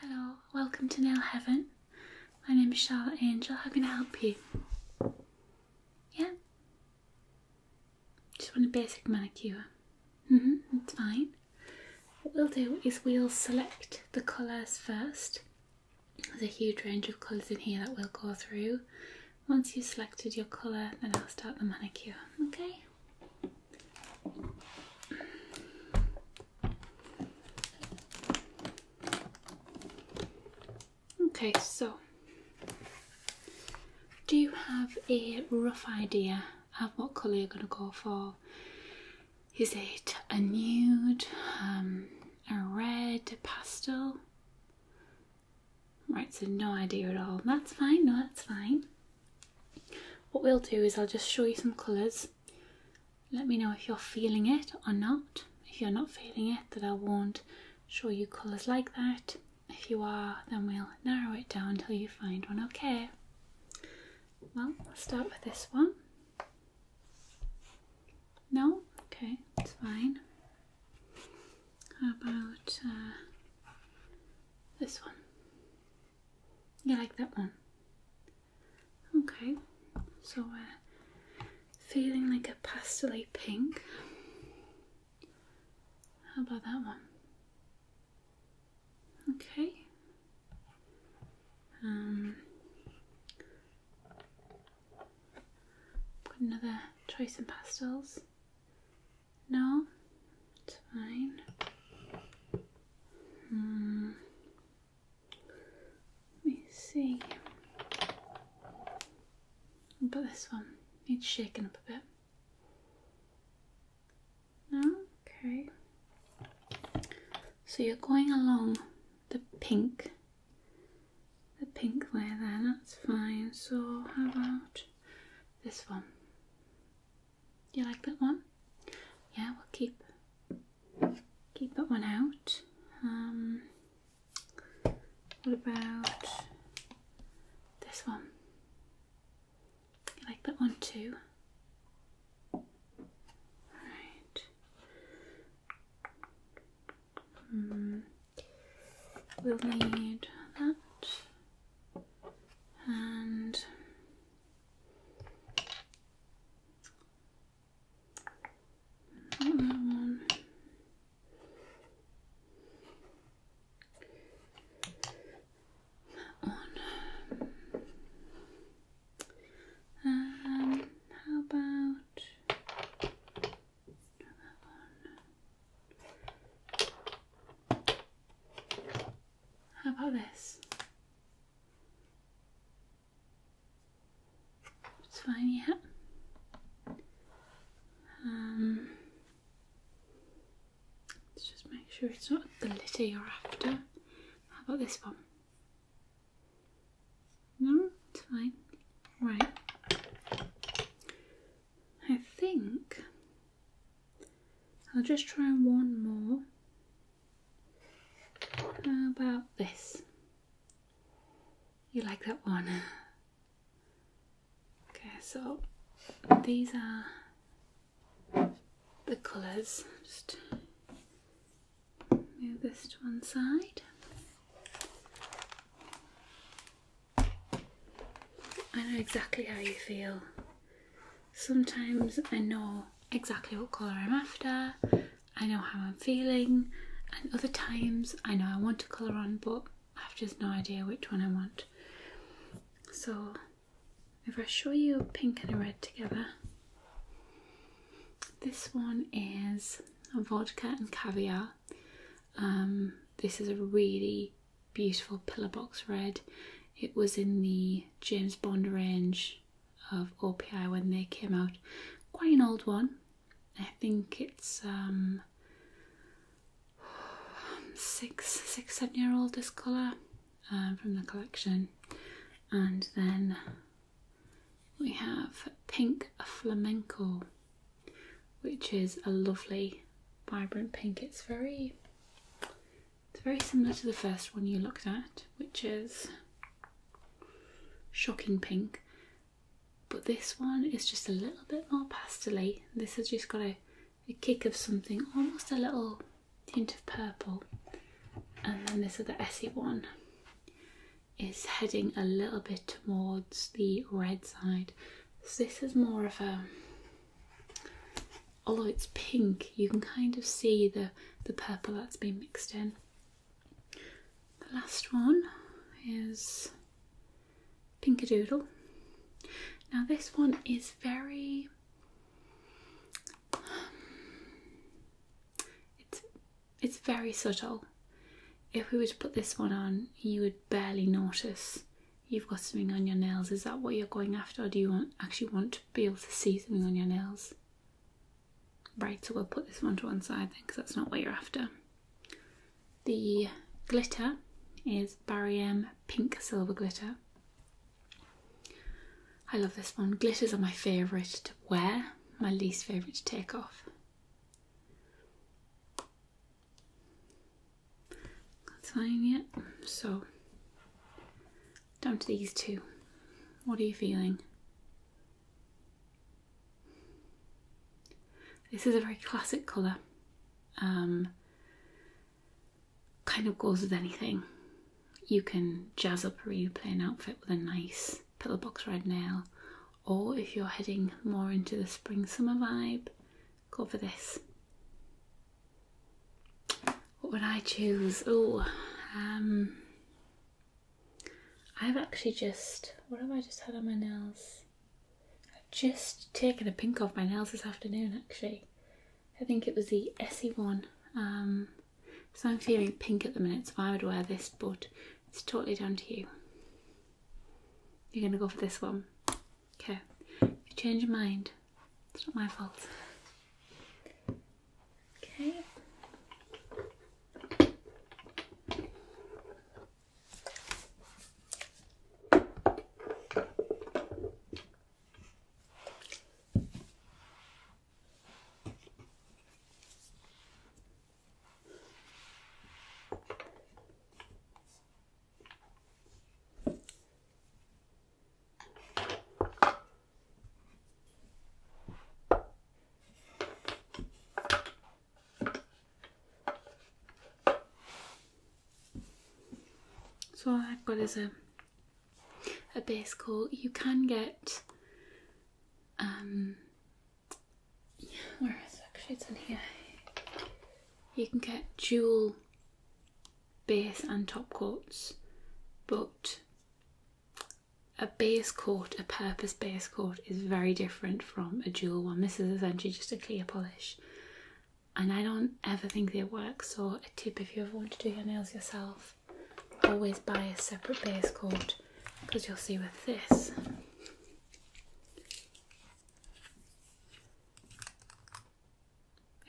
Hello, welcome to Nail Heaven. My name is Charlotte Angel. How can I help you? Yeah? Just want a basic manicure. Mm hmm, that's fine. What we'll do is we'll select the colours first. There's a huge range of colours in here that we'll go through once you've selected your colour, then I'll start the manicure, okay? Okay, so do you have a rough idea of what colour you're going to go for? Is it a nude, um, a red, pastel? Right, so no idea at all. That's fine, no, that's fine. What we'll do is I'll just show you some colours. Let me know if you're feeling it or not. If you're not feeling it, that I won't show you colours like that. If you are, then we'll narrow it down until you find one, okay? Well, I'll start with this one. No? Okay, it's fine. How about uh, this one? You like that one? Okay, so we're uh, feeling like a pastel pink. How about that one? Okay. Um, another choice in pastels. No, it's fine. Hmm. Let me see. But this one needs shaking up a bit. No, okay. So you're going along the pink, the pink there. that's fine. So how about? this one. You like that one? Yeah, we'll keep keep that one out. Um, what about this one? You like that one too? Right. Mm. We'll need that and that one. That one. Um, how about how about this? It's fine, yeah. Um, let's just make sure it's not the litter you're after. How about this one? No, it's fine. Right. I think I'll just try one more. How about this? You like that one? Okay, so these are the colours. Just move this to one side. I know exactly how you feel. Sometimes I know exactly what colour I'm after, I know how I'm feeling, and other times I know I want a colour on but I've just no idea which one I want. So if I show you a pink and a red together, this one is vodka and caviar um, this is a really beautiful pillar box red. It was in the James Bond range of OPI when they came out. Quite an old one. I think it's um, six, six, seven year old this colour um, from the collection. And then we have pink flamenco which is a lovely vibrant pink. It's very it's very similar to the first one you looked at, which is shocking pink. But this one is just a little bit more pastely. This has just got a, a kick of something, almost a little tint of purple. And then this other Essie one is heading a little bit towards the red side. So this is more of a although it's pink, you can kind of see the the purple that's been mixed in. The last one is Pinker doodle. Now this one is very it's it's very subtle. If we were to put this one on, you would barely notice you've got something on your nails. Is that what you're going after, or do you actually want to be able to see something on your nails? Right, so we'll put this one to one side then because that's not what you're after. The glitter is Barium Pink Silver Glitter. I love this one. Glitters are my favourite to wear, my least favourite to take off. Not fine yet. So, down to these two. What are you feeling? This is a very classic colour. Um, kind of goes with anything. You can jazz up a really plain outfit with a nice pillowbox red nail, or if you're heading more into the spring summer vibe, go for this. What would I choose? Oh, um, I've actually just what have I just had on my nails? I've just taken a pink off my nails this afternoon. Actually, I think it was the Essie one. Um, so I'm feeling pink at the minute, so I would wear this, but it's totally down to you. You're gonna go for this one. Okay. If you change your mind, it's not my fault. Okay. So I've got is a a base coat. You can get um, where is it? Actually, it's in here. You can get dual base and top coats, but a base coat, a purpose base coat, is very different from a dual one. This is essentially just a clear polish, and I don't ever think it works. Or a tip if you ever want to do your nails yourself, always buy a separate base coat because you'll see with this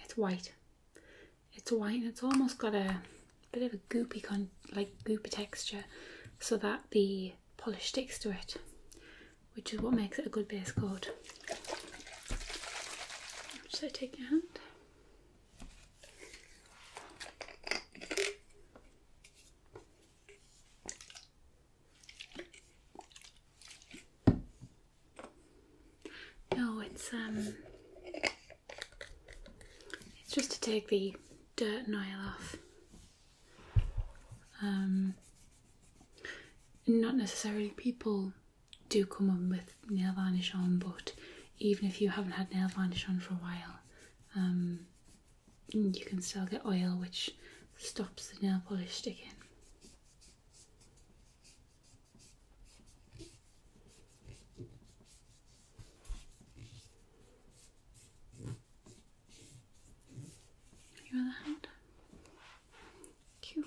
it's white. It's white and it's almost got a bit of a goopy con like goopy texture so that the polish sticks to it which is what makes it a good base coat. So take your hand. No, it's um it's just to take the dirt and oil off. Um not necessarily people do come on with nail varnish on but even if you haven't had nail varnish on for a while um you can still get oil which stops the nail polish sticking. Your hand. Cute.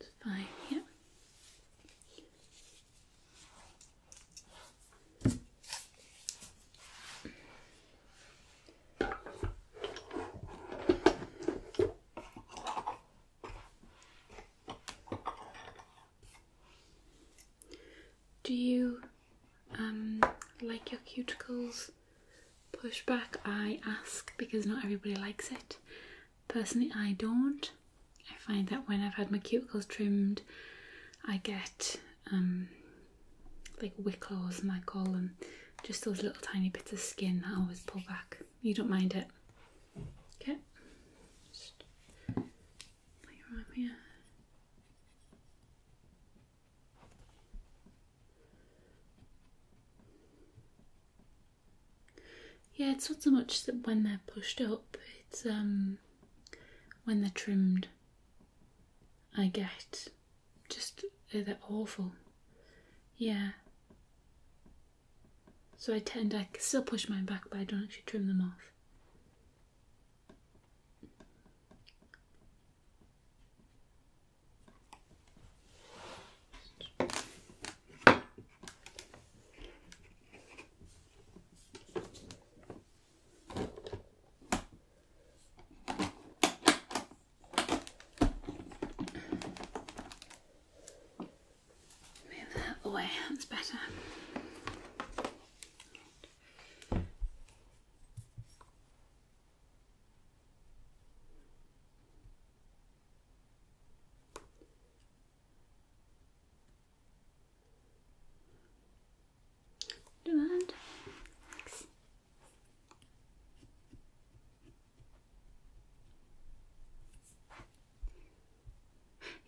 It's fine, yeah. Do you um, like your cuticles back? I ask because not everybody likes it. Personally, I don't. I find that when I've had my cuticles trimmed, I get um, like wicklows and I call them, just those little tiny bits of skin that I always pull back. You don't mind it? Okay. Just play around here. Yeah, it's not so much that when they're pushed up, it's um when they're trimmed I get. Just, uh, they're awful. Yeah. So I tend, I still push mine back, but I don't actually trim them off. Move that away, that's better. Good. Thanks.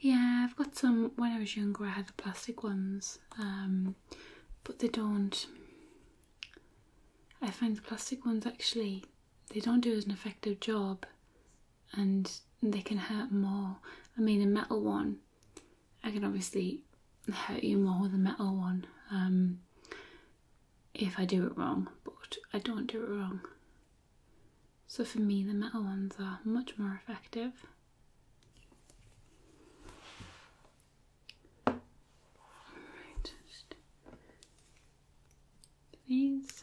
Yeah, I've got some. When I was younger, I had the plastic ones, um, but they don't. I find the plastic ones actually they don't do as an effective job, and they can hurt more. I mean, a metal one, I can obviously hurt you more with a metal one um, if I do it wrong, but I don't do it wrong. So for me, the metal ones are much more effective. All right, just these.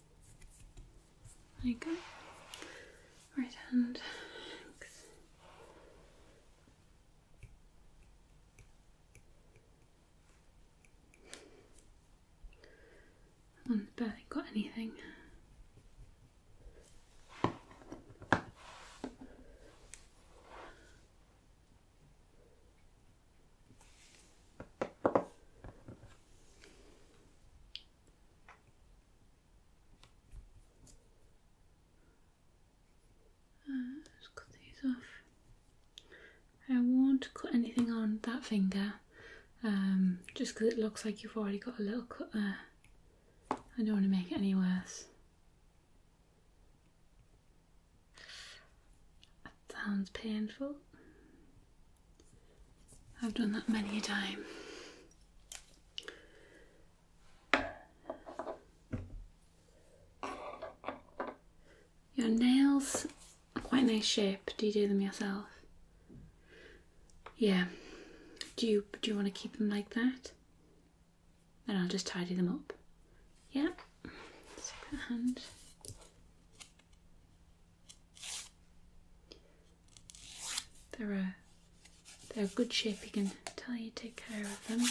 There you go. Right hand. Thanks. One barely got anything. Uh, just cut these off. I won't cut anything on that finger um, just because it looks like you've already got a little cut there. I don't want to make it any worse. That sounds painful. I've done that many a time. Your nails are quite nice shape. Do you do them yourself? Yeah. Do you do you want to keep them like that? Then I'll just tidy them up. Yeah. Stick hand. They're a, they're good shape. You can tell you take care of them.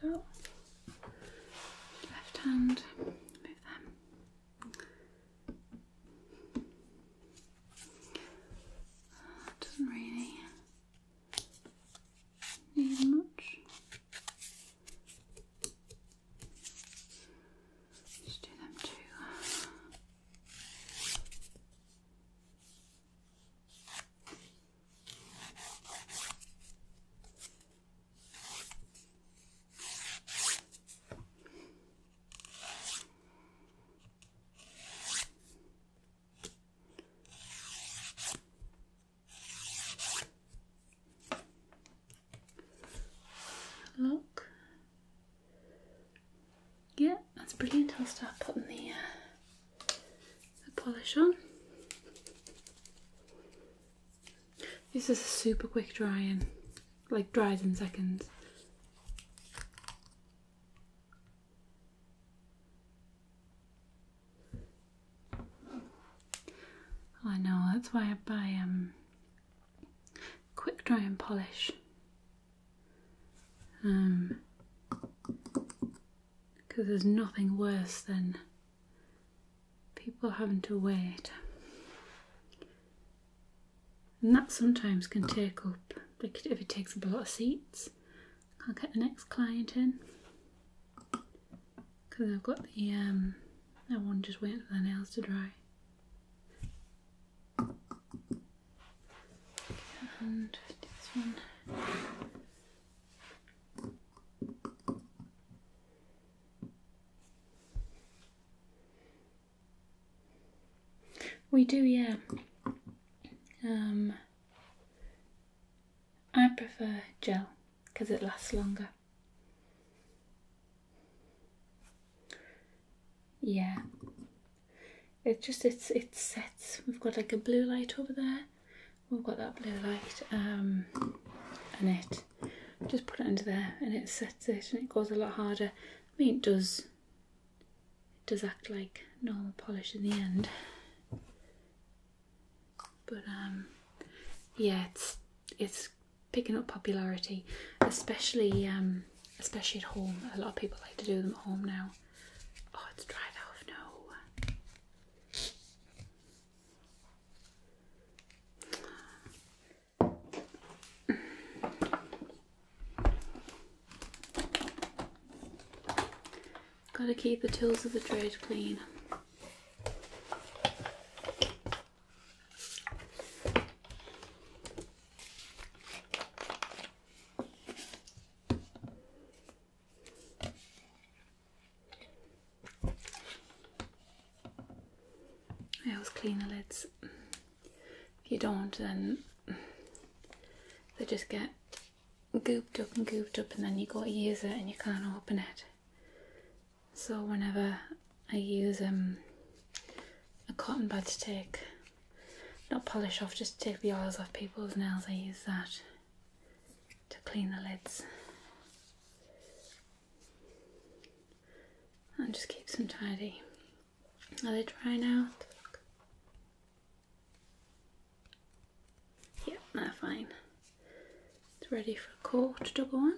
There we go. Left hand, move them. That doesn't really need much. Just do them too. Look. Yeah, that's brilliant. I'll start putting the, uh, the polish on. This is a super quick drying, like dries in seconds. I know, that's why I buy um, quick dry and polish. Um, because there's nothing worse than people having to wait. And that sometimes can take up, if it takes up a lot of seats, can't get the next client in because I've got the um that one just waiting for the nails to dry. And this one. We do, yeah. Um, I prefer gel because it lasts longer. Yeah. It just it's it sets. We've got like a blue light over there. We've got that blue light. Um and it just put it under there and it sets it and it goes a lot harder. I mean it does it does act like normal polish in the end. But um, yeah, it's it's picking up popularity, especially um, especially at home. A lot of people like to do them at home now. Oh, it's dried off. No. Gotta keep the tools of the trade clean. I always clean the lids. If you don't, then they just get gooped up and gooped up, and then you got to use it and you can't open it. So whenever I use um, a cotton bud to take, not polish off, just to take the oils off people's nails, I use that to clean the lids. And just keeps them tidy. Are they drying out? Yep, now fine. It's ready for a quarter to go on.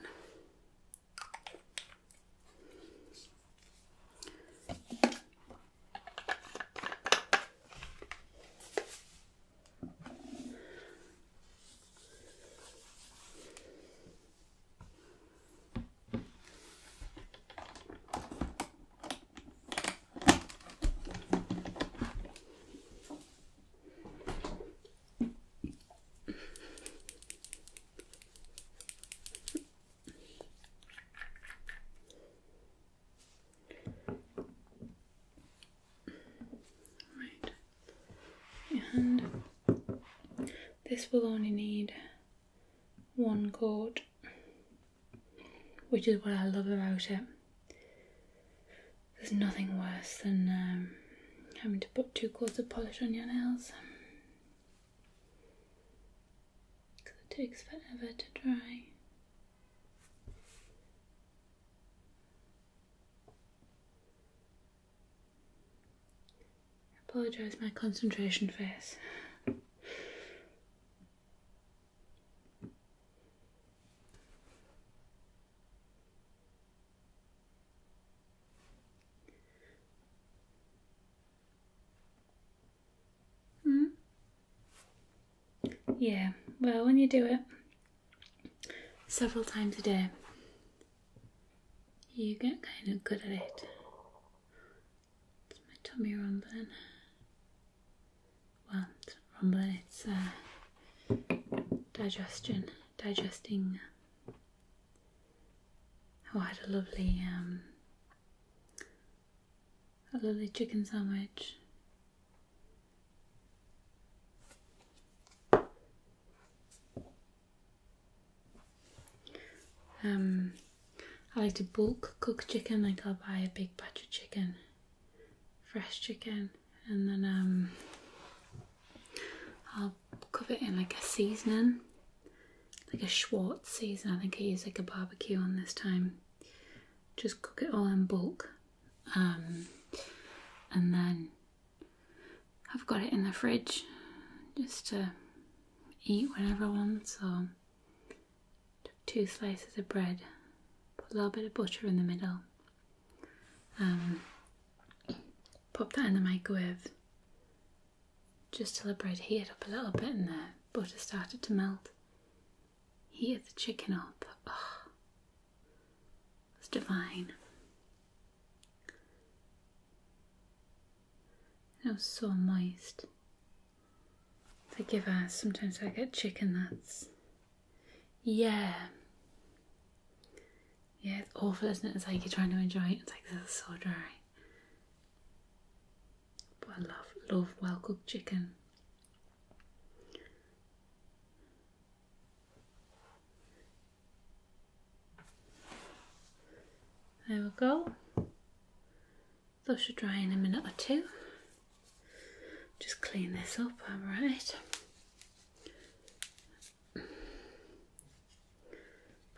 Right. And this will only need one chord which is what I love about it. There's nothing worse than um, having to put two coats of polish on your nails because it takes forever to dry. I apologise my concentration face. Hmm? Yeah, well, when you do it several times a day, you get kind of good at it. my tummy rumbling want from it's uh, digestion, digesting. Uh, oh, I had a lovely, um, a lovely chicken sandwich. Um, I like to bulk cook chicken, like I'll buy a big batch of chicken fresh chicken and then um, I'll cover it in like a seasoning, like a Schwartz seasoning. I think I use like a barbecue on this time. Just cook it all in bulk um, and then I've got it in the fridge just to eat whenever I want. So Took two slices of bread, put a little bit of butter in the middle. Um, pop that in the microwave just till the bread heated up a little bit and the butter started to melt. Heat the chicken up. Oh, it's divine. It was so moist. They give out, sometimes I get chicken nuts. Yeah. Yeah, it's awful, isn't it? It's like you're trying to enjoy it, it's like this is so dry. But I love, love well cooked chicken. There we go. Those should dry in a minute or two. Just clean this up, alright. I'm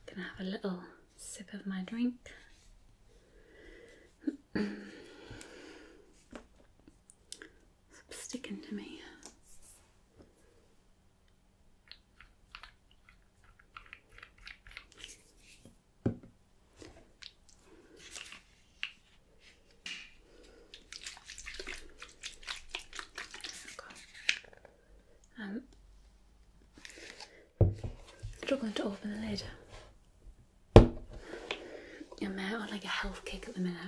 gonna have a little sip of my drink. sticking to me. I'm um, struggling to open the lid. I'm out on like a health kick at the minute.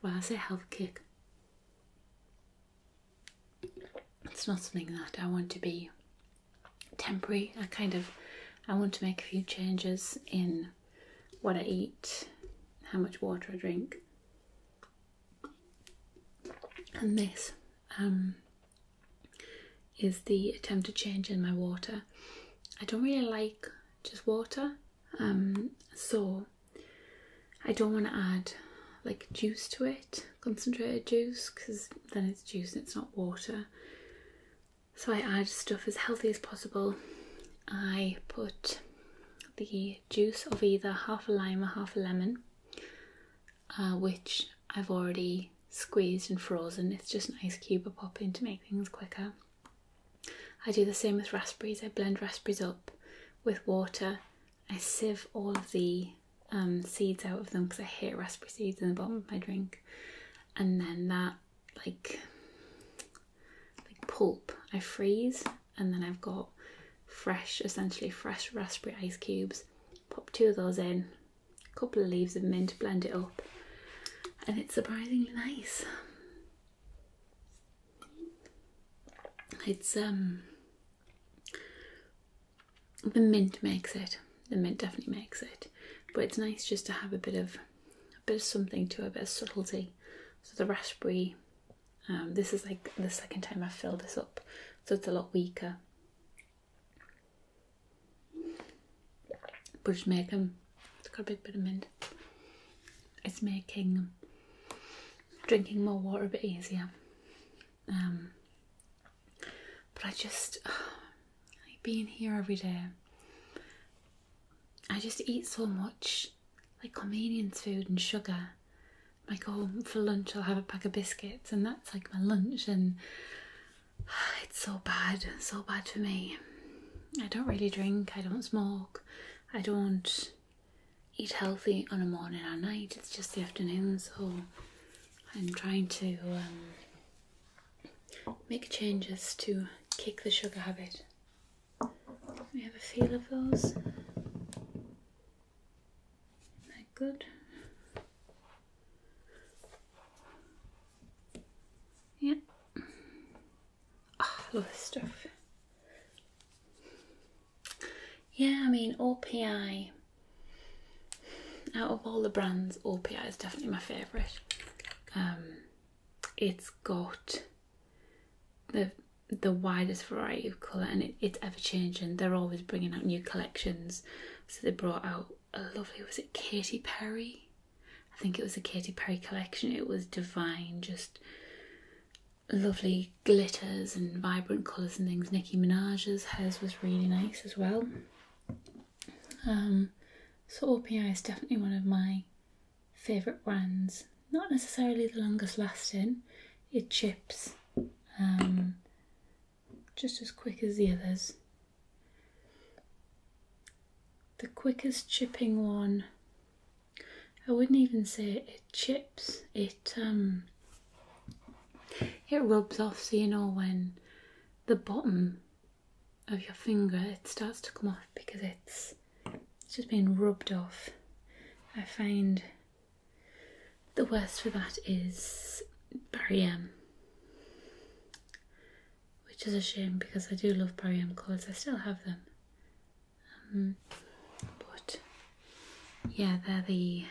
Well, I say health kick. It's not something that I want to be temporary. I kind of I want to make a few changes in what I eat, how much water I drink, and this um, is the attempt to change in my water. I don't really like just water, um, so I don't want to add like juice to it, concentrated juice, because then it's juice and it's not water. So I add stuff as healthy as possible. I put the juice of either half a lime or half a lemon, uh, which I've already squeezed and frozen. It's just an ice cube I pop in to make things quicker. I do the same with raspberries. I blend raspberries up with water. I sieve all of the um, seeds out of them because I hate raspberry seeds in the bottom of my drink. And then that like like pulp. I freeze and then I've got fresh, essentially fresh raspberry ice cubes. Pop two of those in, a couple of leaves of mint, to blend it up, and it's surprisingly nice. It's um the mint makes it the mint definitely makes it. But it's nice just to have a bit of a bit of something to a bit of subtlety. So the raspberry, um, this is like the second time i fill this up, so it's a lot weaker. But it's making, it's got a big bit of mint. It's making drinking more water a bit easier. Um, but I just, uh, being here every day, I just eat so much like convenience food and sugar. Like, oh, for lunch, I'll have a pack of biscuits, and that's like my lunch, and it's so bad, so bad for me. I don't really drink, I don't smoke, I don't eat healthy on a morning or night, it's just the afternoon, so I'm trying to um, make changes to kick the sugar habit. We have a feel of those. is good? Yeah. Oh, I love this stuff. Yeah, I mean, OPI, out of all the brands, OPI is definitely my favourite. Um, it's got the the widest variety of colour and it's ever changing. They're always bringing out new collections. So they brought out a lovely, was it Katy Perry? I think it was a Katy Perry collection. It was divine, just lovely glitters and vibrant colours and things. Nicki Minaj's, has was really nice as well. Um, so OPI is definitely one of my favourite brands. Not necessarily the longest lasting, it chips um, just as quick as the others. The quickest chipping one, I wouldn't even say it chips, it um, it rubs off so you know when the bottom of your finger it starts to come off because it's just being rubbed off. I find the worst for that is barium, Which is a shame because I do love barium M colours. I still have them. Um, but yeah, they're the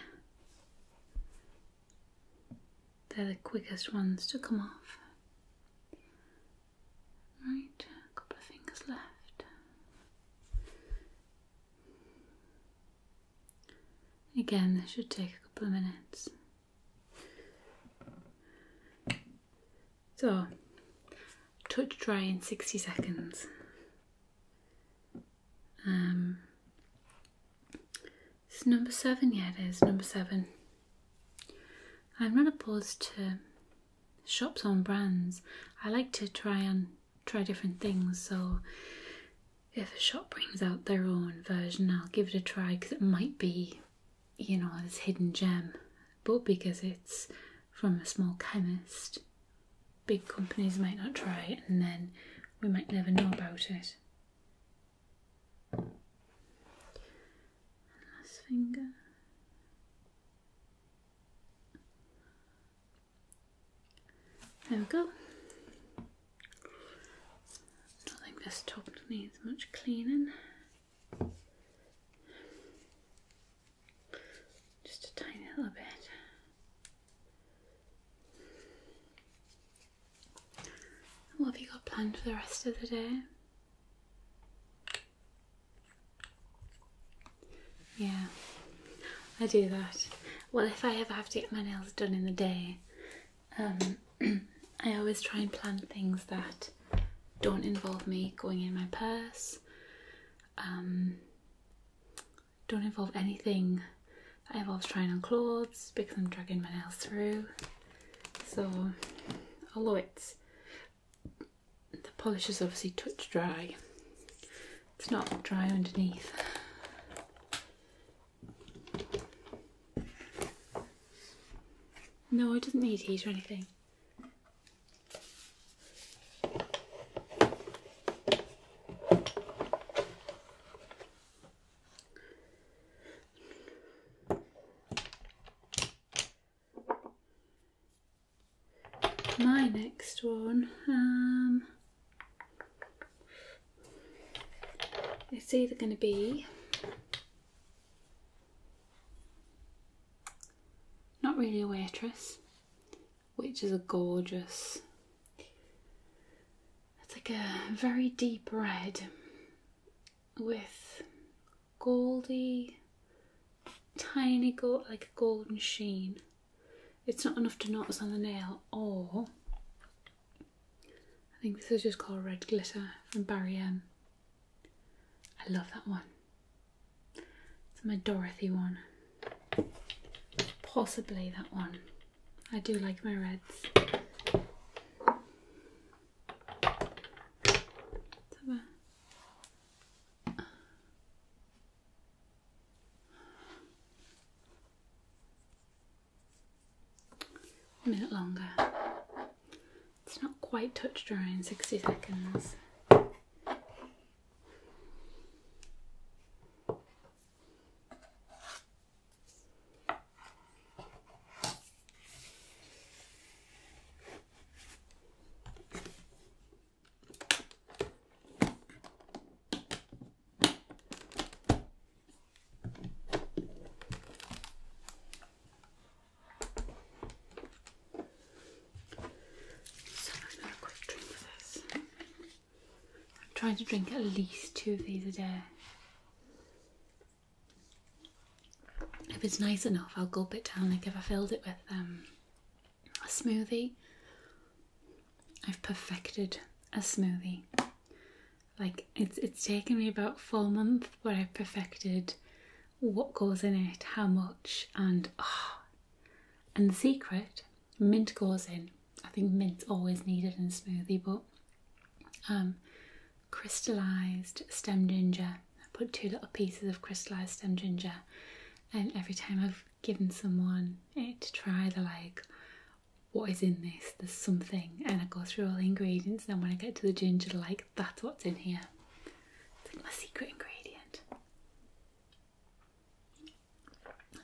they're the quickest ones to come off. Right, a couple of fingers left. Again, this should take a couple of minutes. So, touch dry in 60 seconds. Um, it's number seven, yeah, it is number seven. I'm not opposed to shops on brands. I like to try and try different things, so if a shop brings out their own version, I'll give it a try because it might be, you know, this hidden gem. But because it's from a small chemist, big companies might not try it and then we might never know about it last finger. There we go. I think this top needs much cleaning. Just a tiny little bit what have you got planned for the rest of the day? Yeah, I do that. Well, if I ever have to get my nails done in the day, um, I always try and plan things that don't involve me going in my purse, um, don't involve anything that involves trying on clothes because I'm dragging my nails through. So, although it's the polish is obviously touch dry, it's not dry underneath. No, I doesn't need heat or anything. My next one, um, it's either going to be not really a waitress, which is a gorgeous it's like a very deep red with goldy, tiny gold, like a golden sheen. It's not enough to notice on the nail, or I think this is just called Red Glitter from Barry M. I love that one. It's my Dorothy one. Possibly that one. I do like my reds. A minute longer. It's not quite touch dry in 60 seconds. So there's not a quick drink for this. I'm trying to drink at least two of these a day. If it's nice enough, I'll gulp it down like if I filled it with um, a smoothie. I've perfected a smoothie. Like it's it's taken me about four months, but i perfected what goes in it, how much, and oh, and the secret: mint goes in I think mint's always needed in a smoothie, but um, crystallized stem ginger. I put two little pieces of crystallized stem ginger, and every time I've given someone it to try, they're like, What is in this? There's something. And I go through all the ingredients, and when I get to the ginger, like, That's what's in here. It's like my secret ingredient.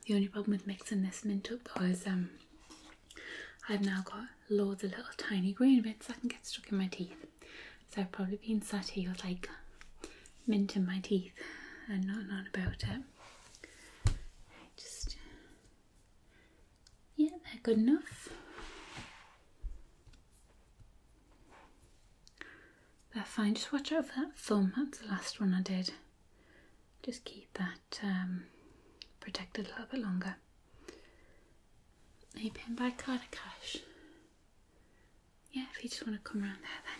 The only problem with mixing this mint up was um, I've now got loads of little tiny green bits that can get stuck in my teeth. So I've probably been sat here with like mint in my teeth and not on about it. Just yeah, they're good enough. They're fine. Just watch out for that thumb. That's the last one I did just keep that um, protected a little bit longer. Are you paying by card cash? Yeah, if you just want to come around there then.